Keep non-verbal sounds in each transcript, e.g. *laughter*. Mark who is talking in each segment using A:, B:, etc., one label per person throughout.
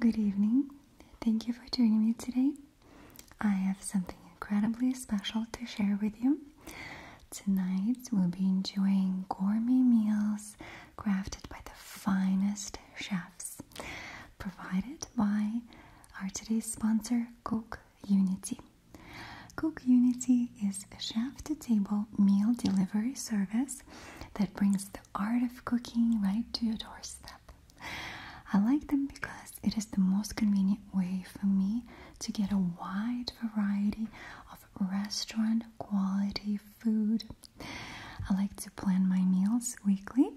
A: Good evening. Thank you for joining me today. I have something incredibly special to share with you. Tonight we'll be enjoying gourmet meals crafted by the finest chefs, provided by our today's sponsor, Cook Unity. Cook Unity is a chef to table meal delivery service that brings the art of cooking right to your doorstep. I like them because it is the most convenient way for me to get a wide variety of restaurant quality food. I like to plan my meals weekly,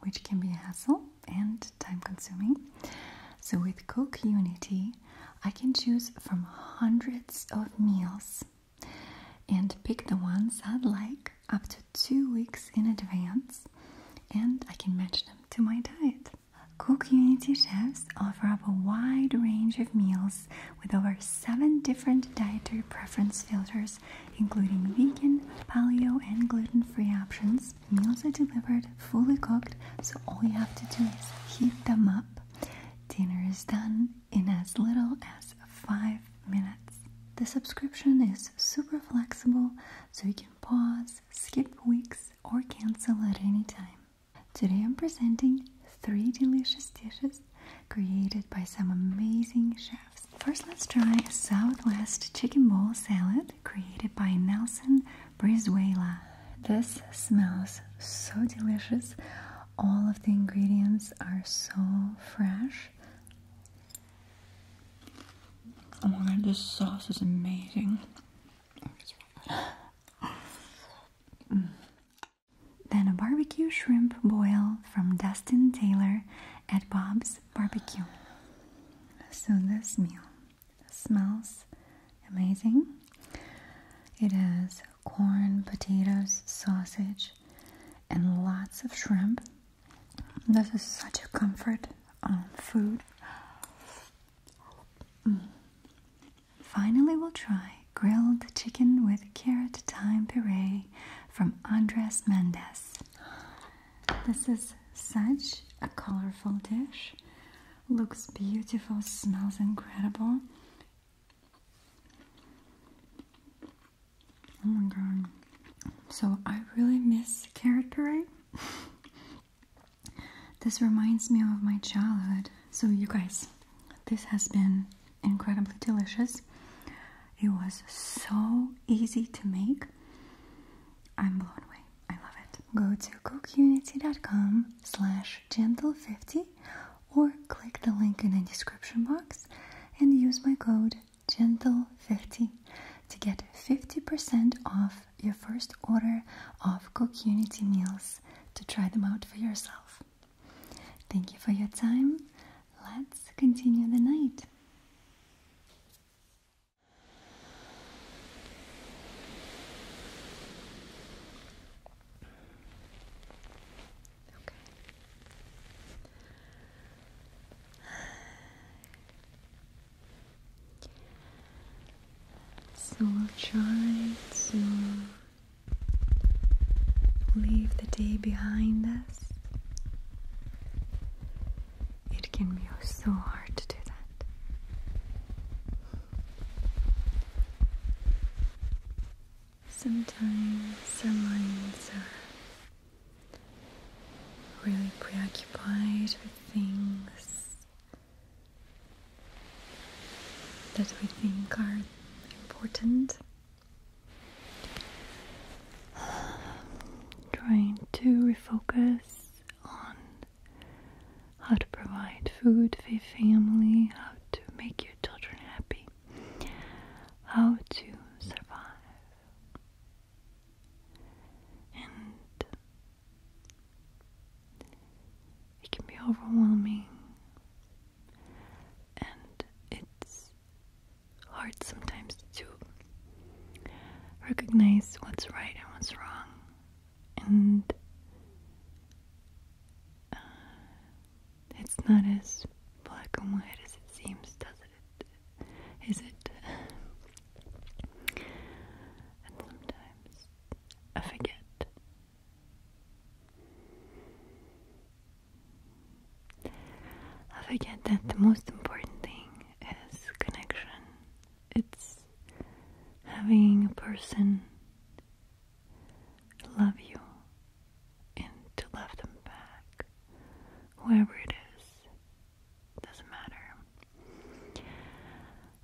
A: which can be a hassle and time consuming. So, with Cook Unity, I can choose from hundreds of meals and pick the ones I'd like up to two weeks in advance, and I can match them to my diet. Cookunity chefs offer up a wide range of meals with over seven different dietary preference filters, including vegan, paleo, and gluten free options. Meals are delivered fully cooked, so all you have to do is heat them up. Dinner is done, in as little as 5 minutes. The subscription is super flexible, so you can pause, skip weeks, or cancel at any time. Today I'm presenting 3 delicious dishes created by some amazing chefs. First, let's try Southwest chicken bowl salad created by Nelson Brizuela. This smells so delicious. All of the ingredients are so fresh. Oh this sauce is amazing. *sighs* Then a barbecue shrimp boil from Dustin Taylor at Bob's Barbecue. So this meal smells amazing. It has corn, potatoes, sausage, and lots of shrimp. This is such a comfort um, food. Mm. Finally, we'll try grilled chicken with carrot thyme puree from Andres Mendez. This is such a colorful dish. Looks beautiful, smells incredible. Oh my god. So I really miss carrot parade. this reminds me of my childhood. So you guys, this has been incredibly delicious. It was so easy to make. I'm blown away. I love it. Go to cookunity.com slash gentle50 or click the link in the description box and use my code Gentle 50 to get 50% off your first order of Cookunity meals to try them out for yourself. Thank you for your time. Let's continue the night. So we'll try to leave the day behind us. It can be so hard to do that. Sometimes our minds are really preoccupied with things that we think are important. Trying to refocus on how to provide food for your family, how to make your children happy, how to survive and it can be overwhelming, and it's hard sometimes to recognize what's right and what's wrong, and uh, it's not as black and white as it seems, does it? Is it? Uh, and sometimes I forget. I forget that the most important thing is connection. It's having a person love you and to love them back. Whoever it is, doesn't matter.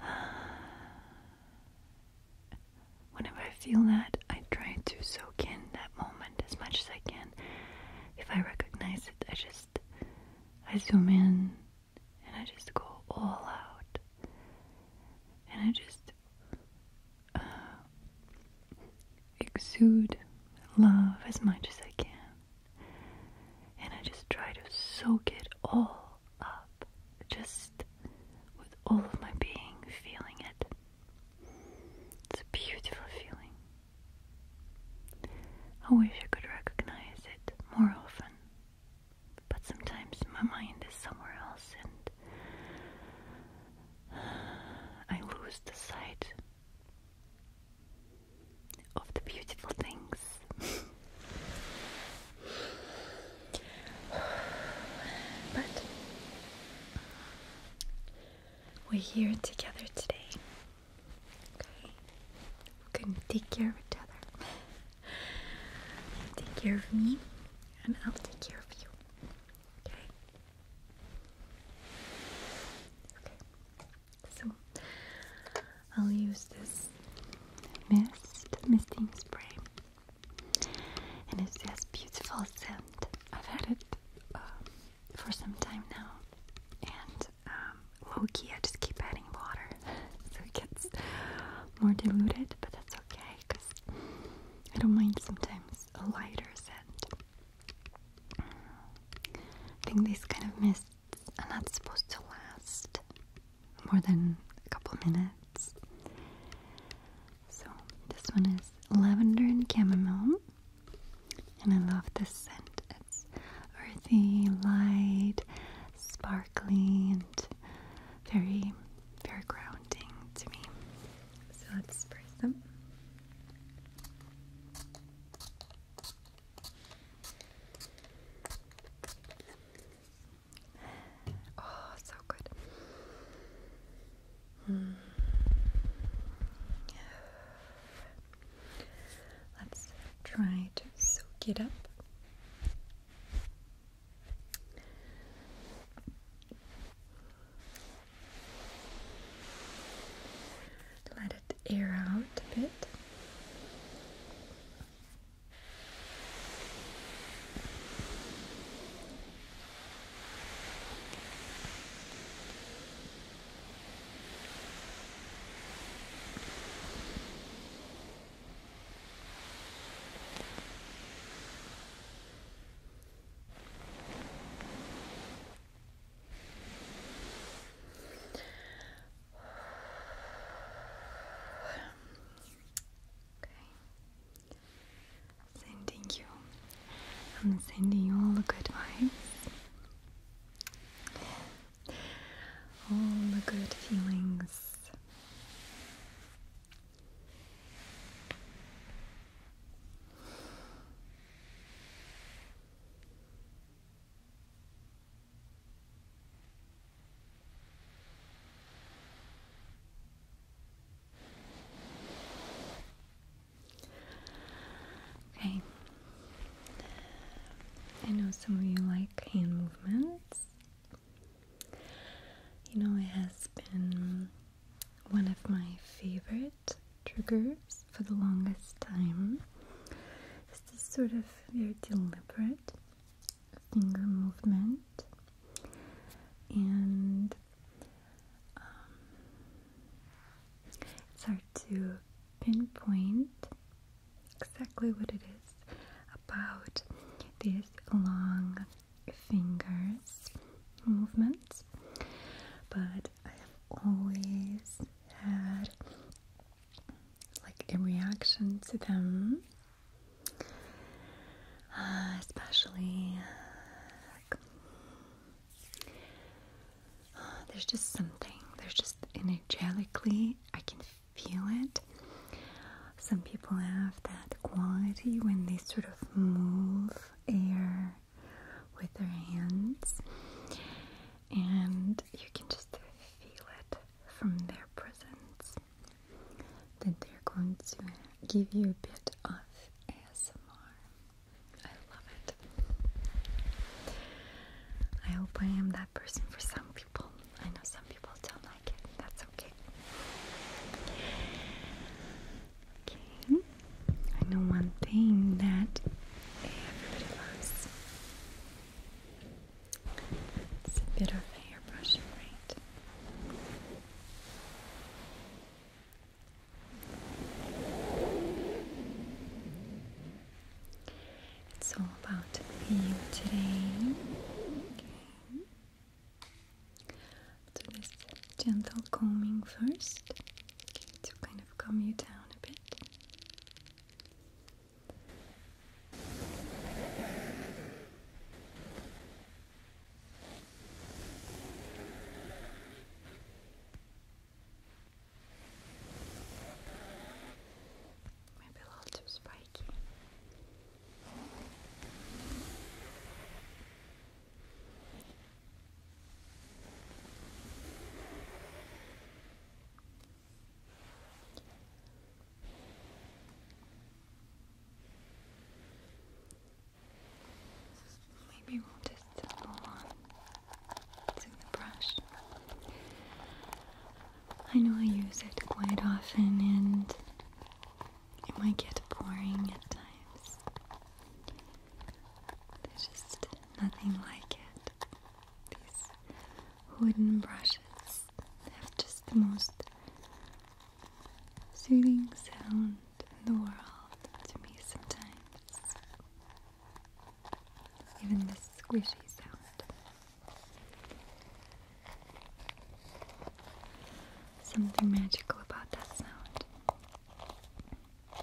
A: *sighs* whenever I feel that, I try to soak in that moment as much as I can. If I recognize it, I just I zoom in and I just go all out, and I just. Uh, exude love as much as I can. And I just try to soak it all up, just with all of my being feeling it. It's a beautiful feeling. I wish I could recognize it more often, but sometimes my mind is somewhere else and *sighs* I lose the sight of the beautiful things. *sighs* but we're here together today. Okay? We gonna take care of each other. *laughs* take care of me, and I'll take care of you. Okay? Okay. So I'll use this mist, misting spray, and it's just beautiful scent. I've had it um, for some time now, and um, low key, I just keep adding water *laughs* so it gets more diluted, but that's okay because I don't mind sometimes a lighter scent. I think these kind of mists are not supposed to last more than a couple minutes. So, this one is lavender and chamomile. And I love this scent. It's earthy, light, sparkly, and very, very grounding to me. So, let's spray some. *sighs* Oh, so good. Hmm. *sighs* Let's try to soak it up. Let it air out a bit. Sending you. I'm sending you all the good vibes. All the good feelings. Okay. I know some of you like hand movements. You know, it has been one of my favorite triggers for the longest time This is sort of very deliberate finger movement and um, it's hard to pinpoint exactly what it is about these long fingers movements but I have always had like a reaction to them, uh, especially uh, there's just something. There's just energetically, I can feel it. Some people have that quality when they sort of move air with their hands, and you can just feel it from their presence. Then they're going to give you a bit of ASMR. I love it. I hope I am that person for some people. I know some people don't like it. That's okay. Okay. I know one thing that everybody loves it's a bit of a hairbrush, right? It's all about you today. do this gentle combing first to kind of calm you down a bit. Maybe a little too spiky. Maybe we'll just go on to the brush. I know I use it quite often and it might get boring at times. There's just nothing like it. These wooden brushes have just the most soothing sound in the world to me sometimes. Even this squishy sound. Something magical about that sound. Of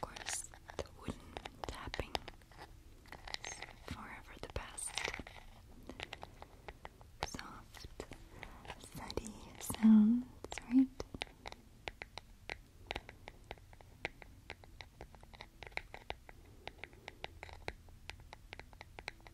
A: course, the wooden tapping forever the best. Soft, steady sounds, right?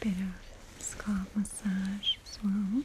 A: Give you a bit of scalp massage as well.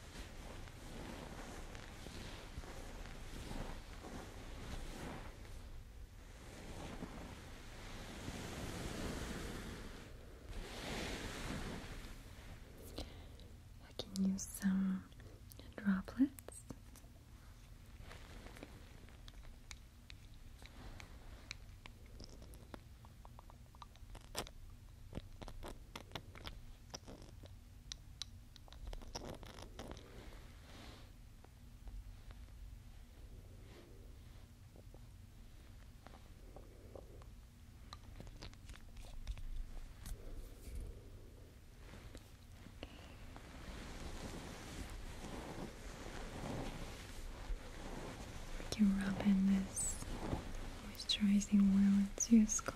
A: I can use some droplets. We can rub in this moisturizing oil into your scalp.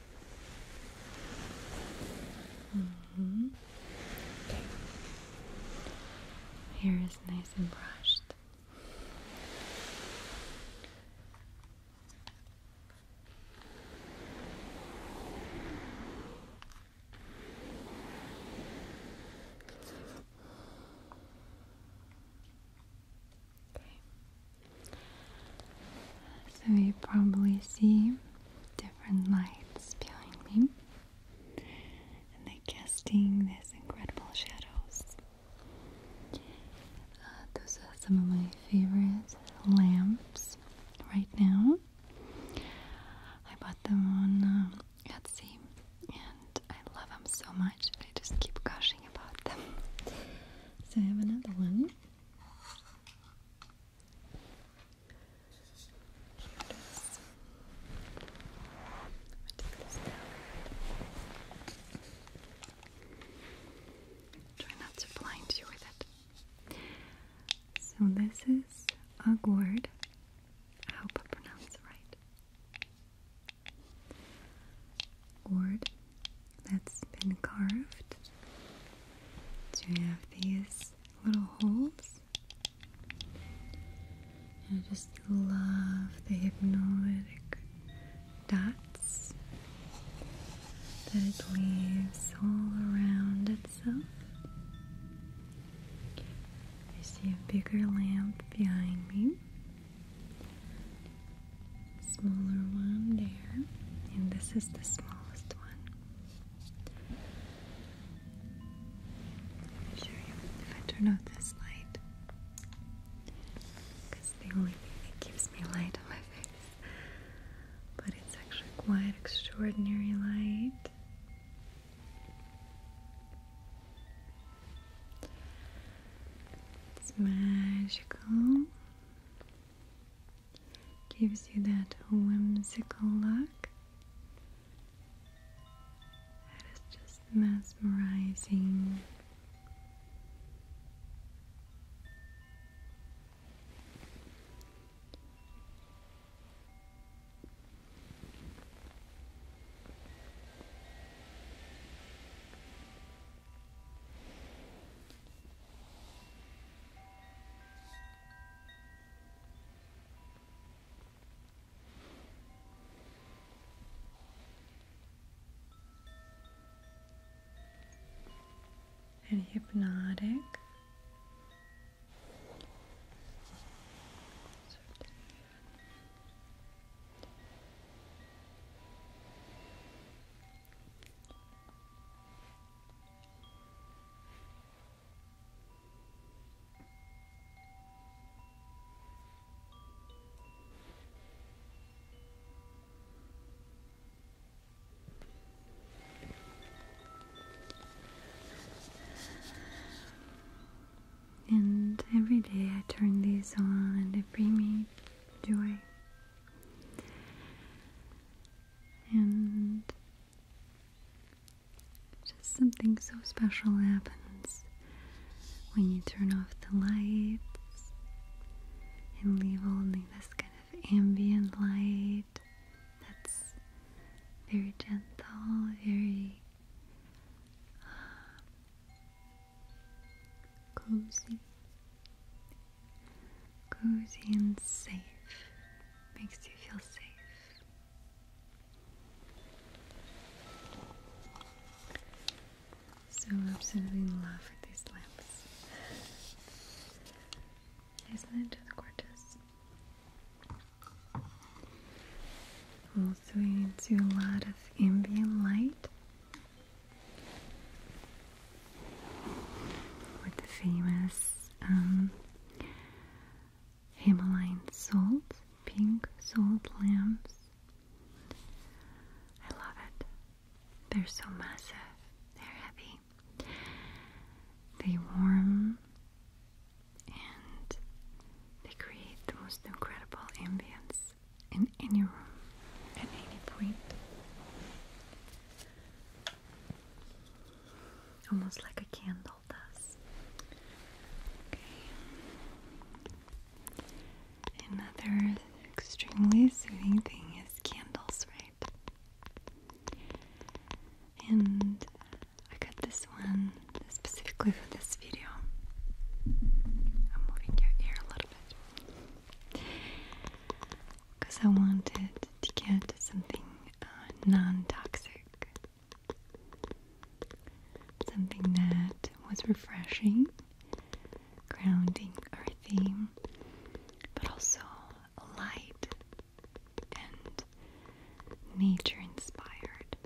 A: Mm-hmm. Hair is nice and brushed. Okay. So you probably see different lights behind me and they're casting these incredible shadows. Uh, those are some of my favorite lamps right now. I bought them on um, Etsy and I love them so much. I just keep gushing about them. *laughs* So I have another one. Try not to blind you with it. So this is a gourd. I hope I pronounce right. Gourd that's been carved to have these little holes. And I just love the hypnotic dots that it leaves all around itself. I see a bigger lamp behind me, smaller one there, and this is the smallest one. I'm sure you if I turn off this light. the only thing that keeps me light on my face. But it's actually quite extraordinary light. It's magical. Gives you that whimsical look. That is just mesmerizing and hypnotic. And every day I turn these on and they bring me joy. And just something so special happens when you turn off the lights and leave only this kind of ambient light that's very gentle, very uh, cozy, cozy and safe makes you feel safe. So I'm absolutely in love with these lamps. Isn't it just gorgeous? Also into a lot of ambient light with the famous um, Himalayan salt, pink salt lamps. I love it. They're so massive. They're heavy. They warm and they create the most incredible ambience in any room at any point. Almost like a candle. Another extremely soothing thing is candles, right? And I got this one specifically for this video. I'm moving your ear a little bit because I wanted to get something uh, non toxic Something that was refreshing, grounding, earthy, but also light and nature inspired.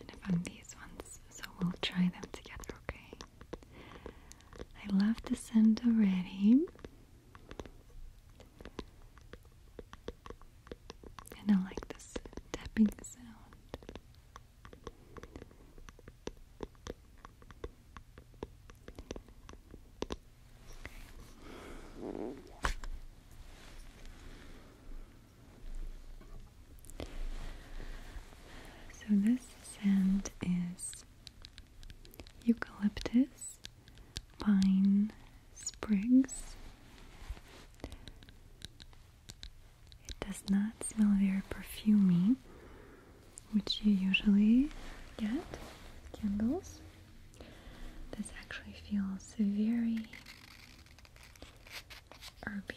A: And I found these ones, so we'll try them together, okay? I love the scent already. And I like this tapping sound. So this scent is eucalyptus, pine sprigs. It does not smell very perfumy, which you usually get candles. This actually feels very herby.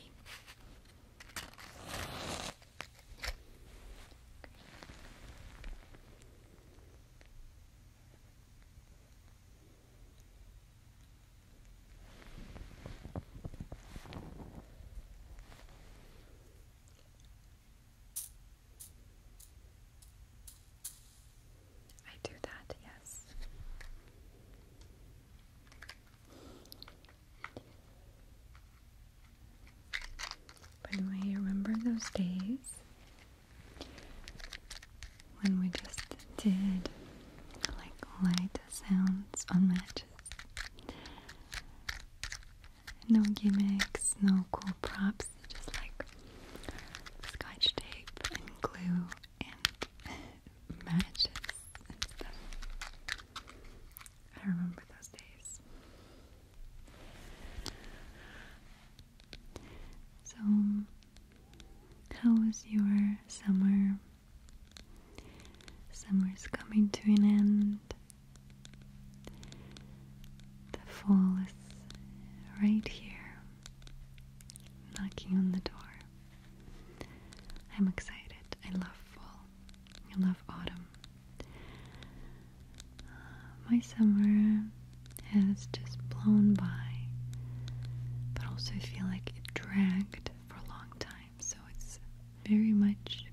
A: I do that, yes. By the remember those days when we just did like light sounds on matches? No gimmicks, no cool props, just like scotch tape and glue and *laughs* matches and stuff. I remember those days. So, how was your summer? Summer's coming to an end. The fall is right here, knocking on the door. I'm excited. I love fall. I love autumn. Uh, my summer has just blown by, but also I feel like it dragged for a long time, so it's very much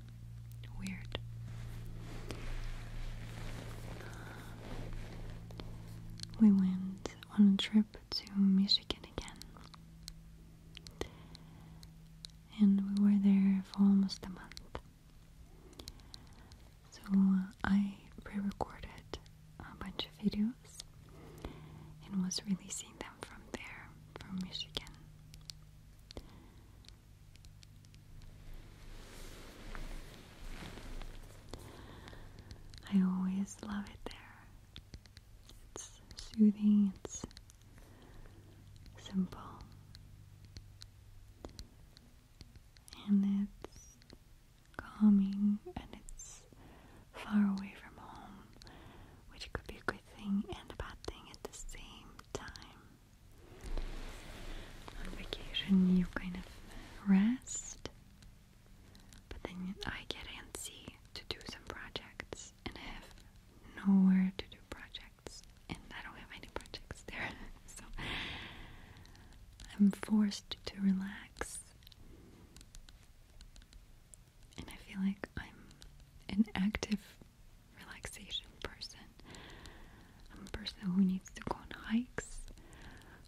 A: weird. Uh, we went on a trip to Michigan again, and we were there for almost a month. So I pre-recorded a bunch of videos and was releasing them from there, from Michigan. I always love it there. It's soothing, it's simple and it's calming and it's far away from home, which could be a good thing and a bad thing at the same time. On vacation, you kind of rest, but then I get antsy to do some projects and I have nowhere to do projects and I don't have any projects there, *laughs* so I'm forced to relax. And I feel like I'm an active relaxation person. I'm a person who needs to go on hikes,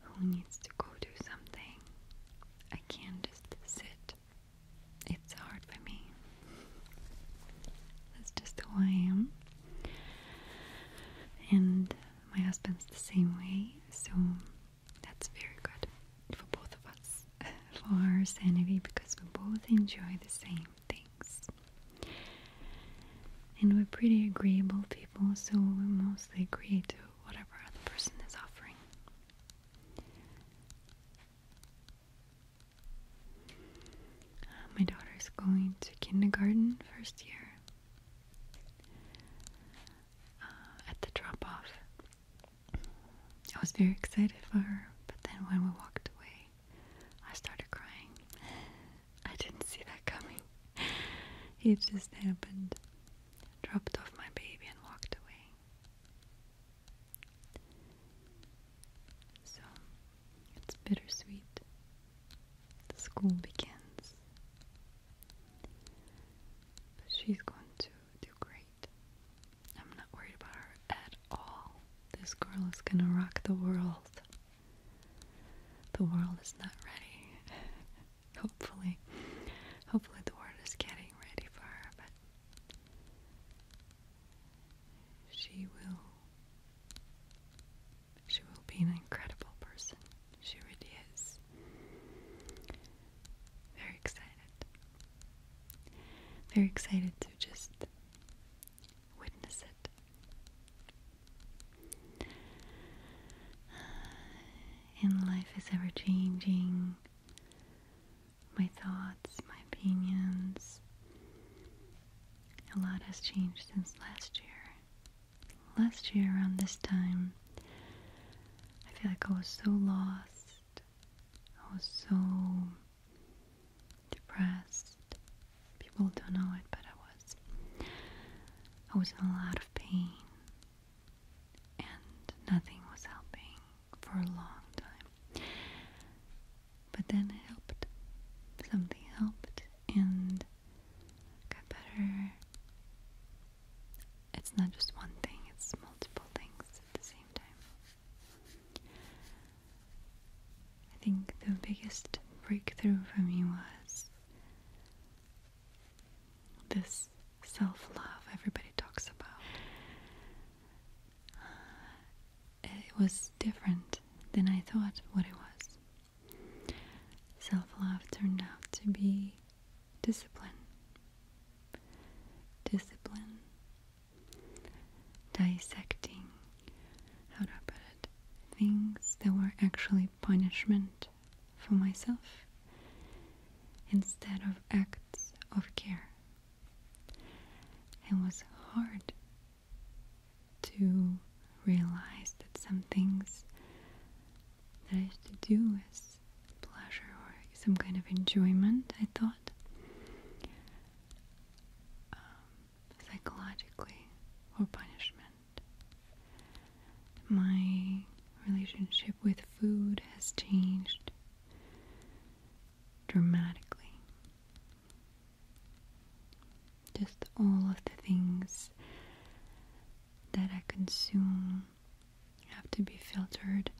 A: who needs to go do something. I can't just sit. It's hard for me. That's just who I am. And my husband's the same way, so that's very good for both of us, *laughs* for our sanity, because we both enjoy the same things. And we're pretty agreeable people, so we mostly agree to whatever other person is offering. Uh, my daughter is going to kindergarten first year, uh, at the drop off. I was very excited for her, but then when we walked away, I started crying. I didn't see that coming. *laughs* It just happened. Dropped off my baby and walked away. So it's bittersweet school begins. But she's going to do great. I'm not worried about her at all. This girl is gonna rock the world. The world is not ready. *laughs* hopefully, hopefully the world is getting ready for her, but she will she will be an incredible person. She really is. Very excited. Very excited to just witness it. *sighs* And life is ever changing. My thoughts, my opinions. A lot has changed since last year last year around this time. I feel like I was so lost. I was so depressed. People don't know it, but I was. I was in a lot of pain. And nothing was helping for a long time. But then it helped. Something helped, and Got better. It's not just one thing, it's multiple things at the same time. I think the biggest breakthrough for me was this self love everybody talks about. Uh, it was different than I thought what it was. Self love turned out to be discipline. Discipline. Dissecting, how do I put it? Things that were actually punishment for myself instead of acts of care. It was hard to realize that some things that I used to do was pleasure or some kind of enjoyment, I thought. Um, psychologically or punishment. My relationship with food has changed dramatically. Just all of the things that I consume have to be filtered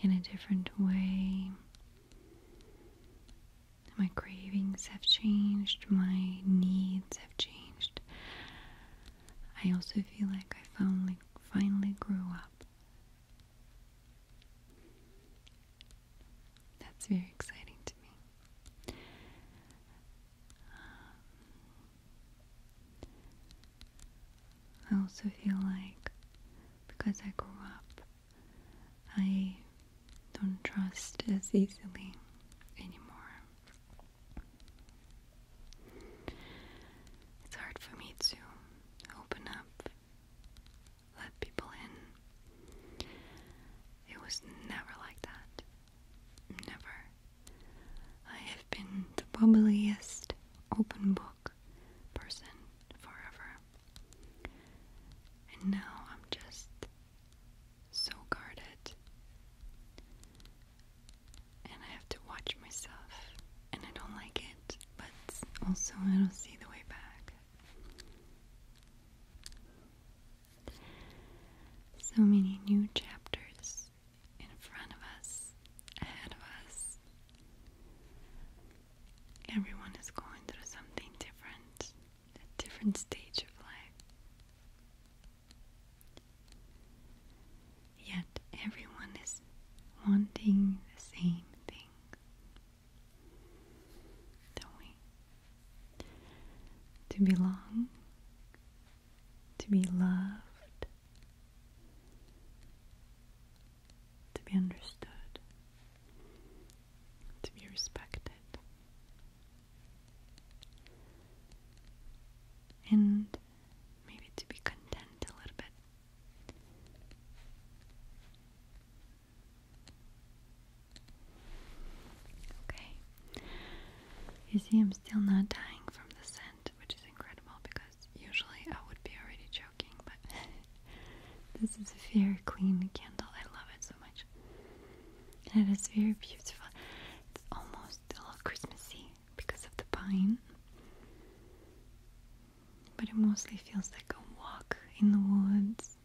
A: in a different way. My cravings have changed, my needs have changed. I also feel like I finally, grew up. That's very exciting to me. I also feel like because I grew up, I don't trust as easily anymore. It's hard for me to open up, let people in. It was never like that. Never. I have been the bubbliest open book person forever. And now I'm just so guarded. And I have to watch myself. And I don't like it, but also I don't see the way back. So many new chapters in front of us, ahead of us. Everyone is going through something different, a different stage of life. Yet everyone is wanting the same thing. Don't we? To belong, to be loved, to be understood, to be respected. And maybe to be content a little bit. Okay. You see, I'm still not dying from the scent, which is incredible because usually I would be already choking, but *laughs* this is a very clean candle. I love it so much. And it is very beautiful. It's almost a little Christmassy because of the pine, but it mostly feels like a walk in the woods.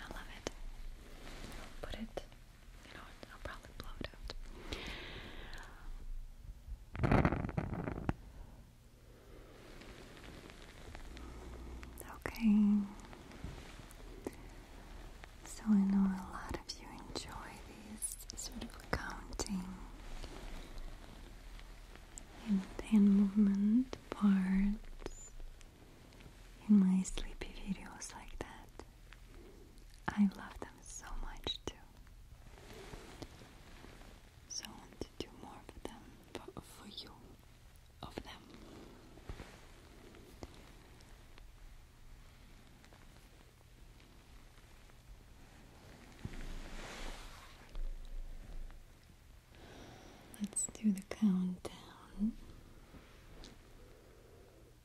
A: I love it. put it Okay. So I know a lot of you enjoy these sort of counting and hand movement parts in my sleepy videos like that. I love them so much too. So want to do more of them for, for you, of them. Let's do the countdown.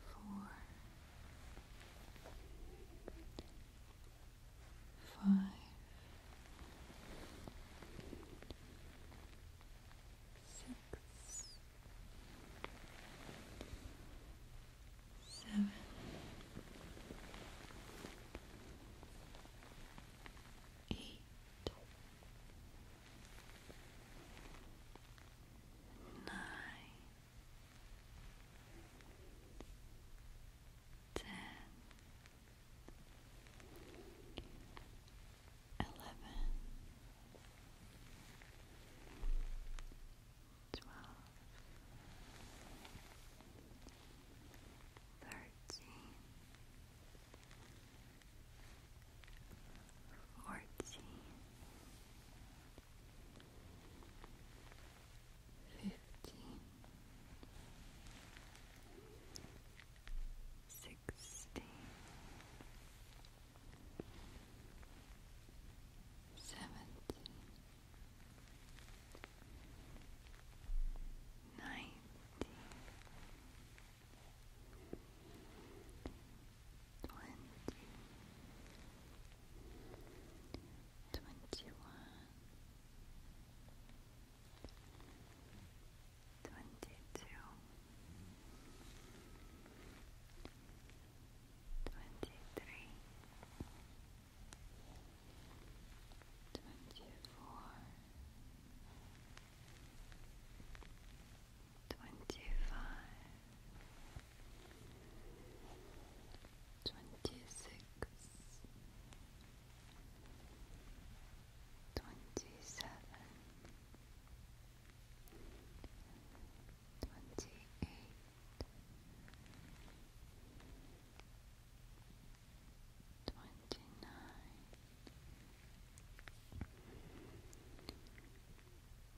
A: four, five, six, seven. Eight, nine, ten, eleven, twelve, thirteen, fourteen. 15 fifteen, sixteen, seventeen, nineteen twenty, twenty-one, twenty-two, twenty-three, twenty-four, twenty-five twenty six, twenty seven, twenty eight, twenty nine,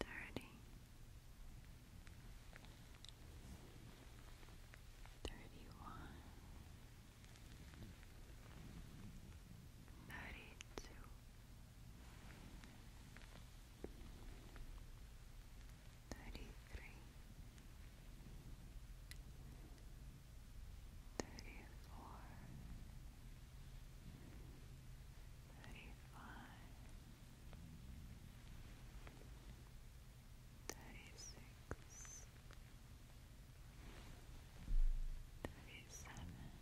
A: thirty. 31 32 33 34 35 36 37 38 39 40 Thirty-one, thirty-two, thirty-three, thirty-four, thirty-five thirty-six, thirty-seven, thirty-eight, thirty-nine.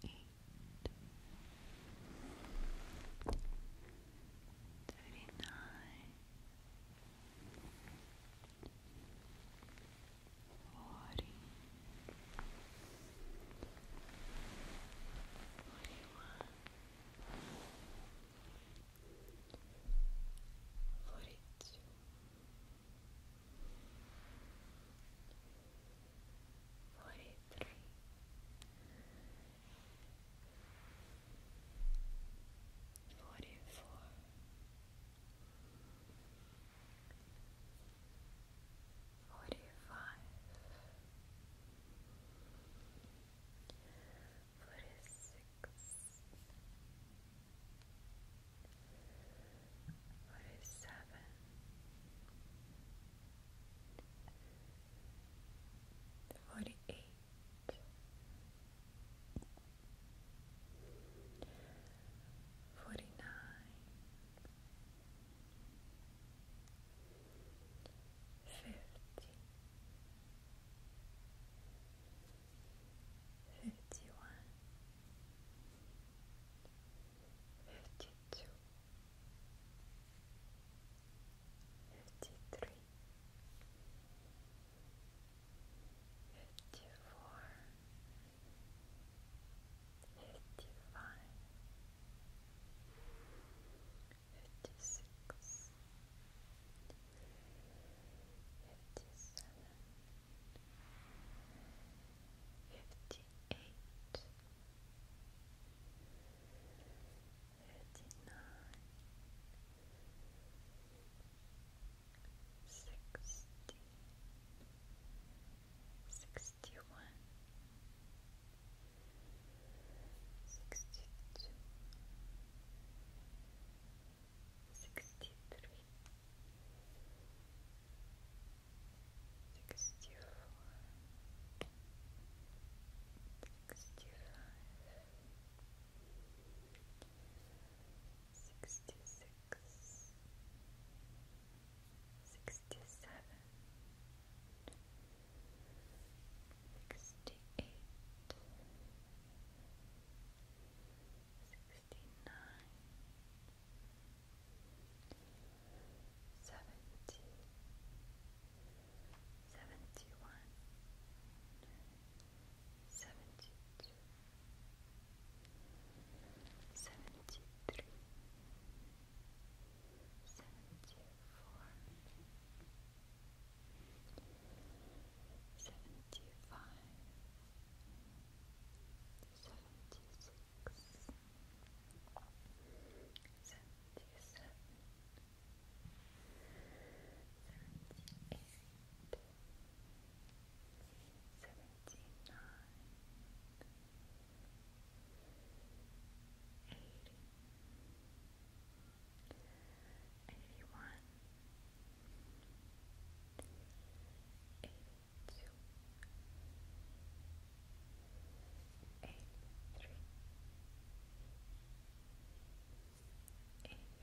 A: 39 forty, forty-one, forty-two, forty-three. Forty four, forty-five, forty-six, forty-seven, forty-eight, forty-nine. 49 Fifty. Fifty one. Fifty two. Fifty three. 57 fifty five, fifty six, fifty seven, fifty eight, fifty nine, sixty sixty one, sixty two, sixty three, sixty four, sixty five, sixty six. 67 68 69 70 sixty-seven, sixty-eight, sixty-nine, seventy, seventy-one, seventy-two, seventy-three. 73 74 75 seventy four, seventy five, seventy six, seventy seven, seventy eight. Seventy nine, eighty, eighty-one, eighty-two, eighty-three, eighty-four, eighty-five. 85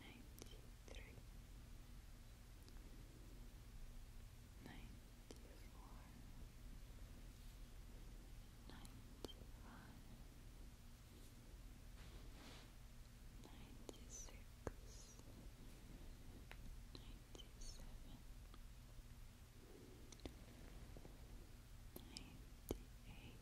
A: ninety-three, ninety-four, ninety-five, ninety-six, ninety-seven, ninety-eight.